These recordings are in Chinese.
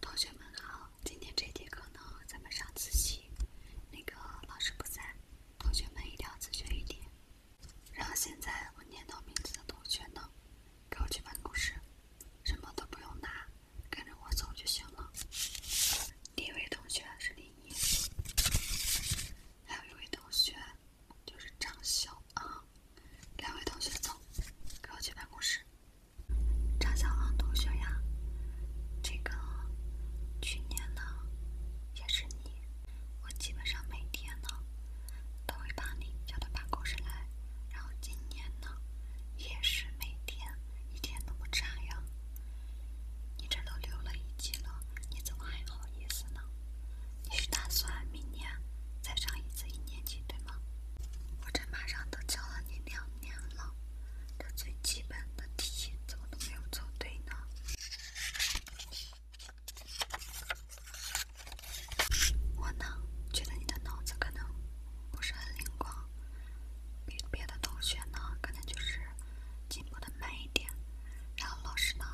同学们好，今天这节课呢，咱们上自习。那个老师不在，同学们一定要自觉一点。然后现在我念到名字的同学呢，给我去办公室，什么都不用拿，跟着我走就行了。第一位同学是李一，还有一位同学就是张晓啊。两位同学走，跟我去办公室。张小王同学呀，这个去年呢也是你，我基本上每天呢都会把你叫到办公室来，然后今年呢也是每天，一天都不差呀。你这都留了一级了，你怎么还好意思呢？你是打算明年再上一次一年级，对吗？我这马上都教了你两年了，这最基本的题怎么都没有做对呢？我呢，觉得你的脑子可能不是很灵光，比别的同学呢，可能就是进步的慢一点。然后老师呢，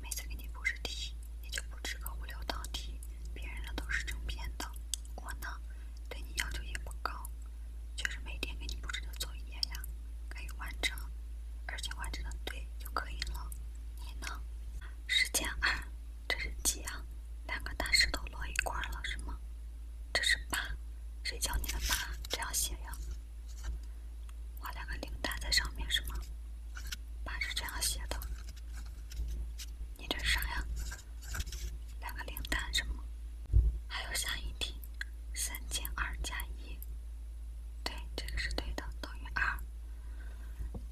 每次给你布置题，也就布置个五六道题，别人的都是整篇的，我呢对你要求也不高，就是每天给你布置的作业呀，可以完成，而且完成的对就可以了。你呢？时间二，这是几啊？两个大石头摞一块儿了是吗？这是八，谁教你的八这样写呀？画两个零蛋在上面是吗？爸是这样写的。你这是啥呀？两个零蛋是吗？还有下一题，三减二加一，对，这个是对的，等于二。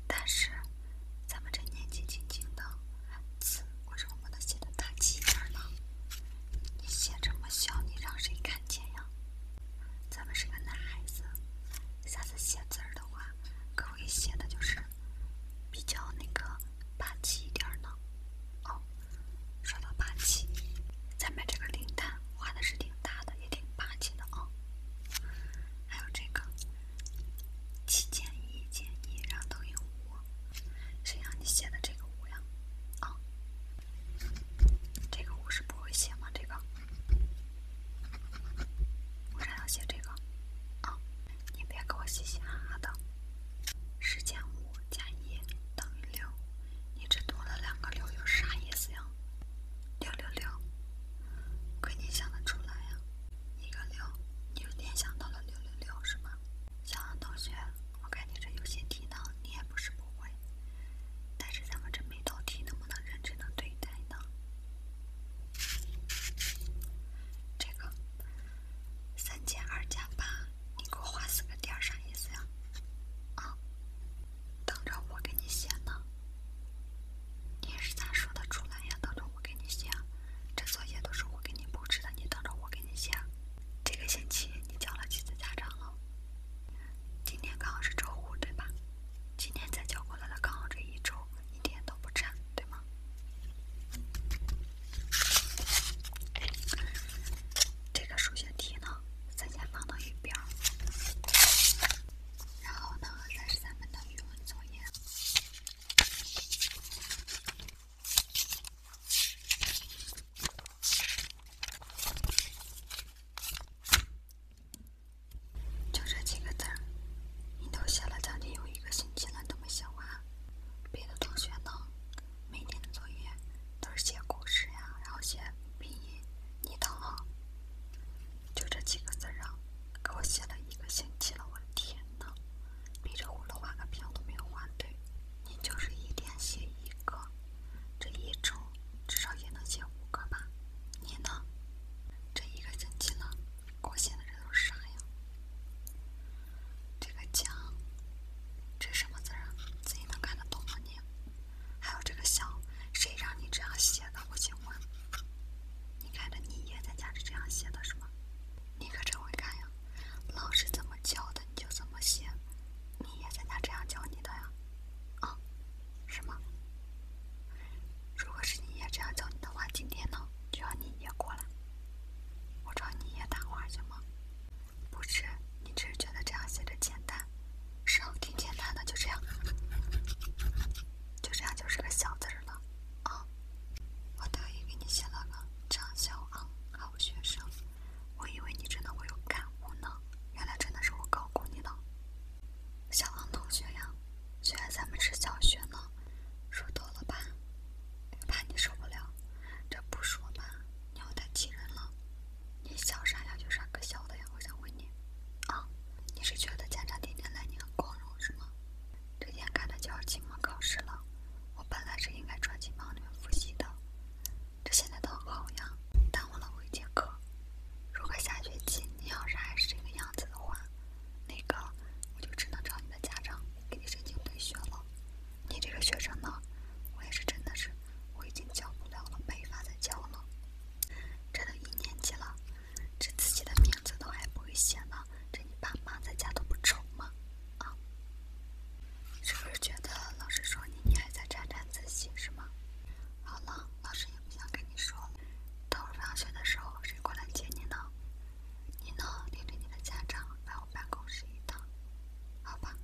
但是，咱们这年纪轻轻的字，为什么能写得大几眼呢？你写这么小，你让谁看见呀？咱们是个男孩子，下次写字儿的话，可不可以写的就是比较那个霸气一点儿呢。哦，说到霸气，咱们这个灵丹画的是挺大的，也挺霸气的哦。还有这个七减一减一，然后等于五，谁让你写的这个五呀？啊！这个我是不会写吗？这个，我想要写这个啊！你别给我嘻嘻哈哈的。十减五加一等于六，你这多了两个六有啥意思呀？六六六，我肯定想得出来呀。一个六，你有点想到了六六六是吗？小安同学。我感觉这有些题呢，你也不是不会，但是咱们这每道题能不能认真的对待呢？这个三减二加八，你给我画四个点啥意思呀？啊，等着我给你写呢。你也是咋说的出来呀？等着我给你写，这作业都是我给你布置的，你等着我给你写。这个星期你叫了几次家长了？今天刚好是周五，对吧？今天才叫过来的，刚好这一周一点都不长，对吗？这个数学题呢，咱先放到一边然后呢，三十三分的语文作业。就这几个字你都写了将近有一个星期了都没写完。别的同学呢，每天的作业都是写古诗呀，然后写拼音。你倒好，就这几个字啊，给我写了一个星期了，我的天！呢，逼着我了，换个偏都没有换对。你就是一天写一个，这一周至少也能写五个吧？你呢？这一个星期呢，我写的这都是啥呀？这个讲这什么字啊？自己能看得懂吗你？还有这个想谁让你这样写的？我请问。你看着你爷在家是这样写的，是吗？你可真会看呀！老师怎么教的你就怎么写，你爷在家这样教你的呀，啊，是吗？如果是你爷这样教你的话，今天呢就让你爷过来，我找你爷谈话行吗？不是，你只是觉得这样写着简单，是挺简单的，就这样。就这样就是个小字儿了，啊！我特意给你写了个张小王好学生，我以为你真的会有感悟呢，原来真的是我高估你了，小王同学呀，虽然咱们是小学呢，说多了吧，怕你受不了，这不说吧，你要太气人了，你笑啥呀？有啥可笑的呀？我想问你。啊，你是觉得家长天天来你很光荣是吗？这天看着就要期末考试了，我本来是应该专心班里面复习的，这现在倒好呀，耽误了我一节课。如果下学期你要是还是这个样子的话，那个我就只能找你的家长给你申请退学了。你这个学生呢，我也是真的是我已经教不了了，没法再教了。这都一年级了，这自己的名字都还不会写呢，这你爸妈在家都不愁吗？啊，是不是觉得老师说你，你还在沾沾自喜是吗？好了，老师也不想跟你说了，等会放学的时候，谁过来接你呢？你呢，领着你的家长来我办公室一趟，好吧？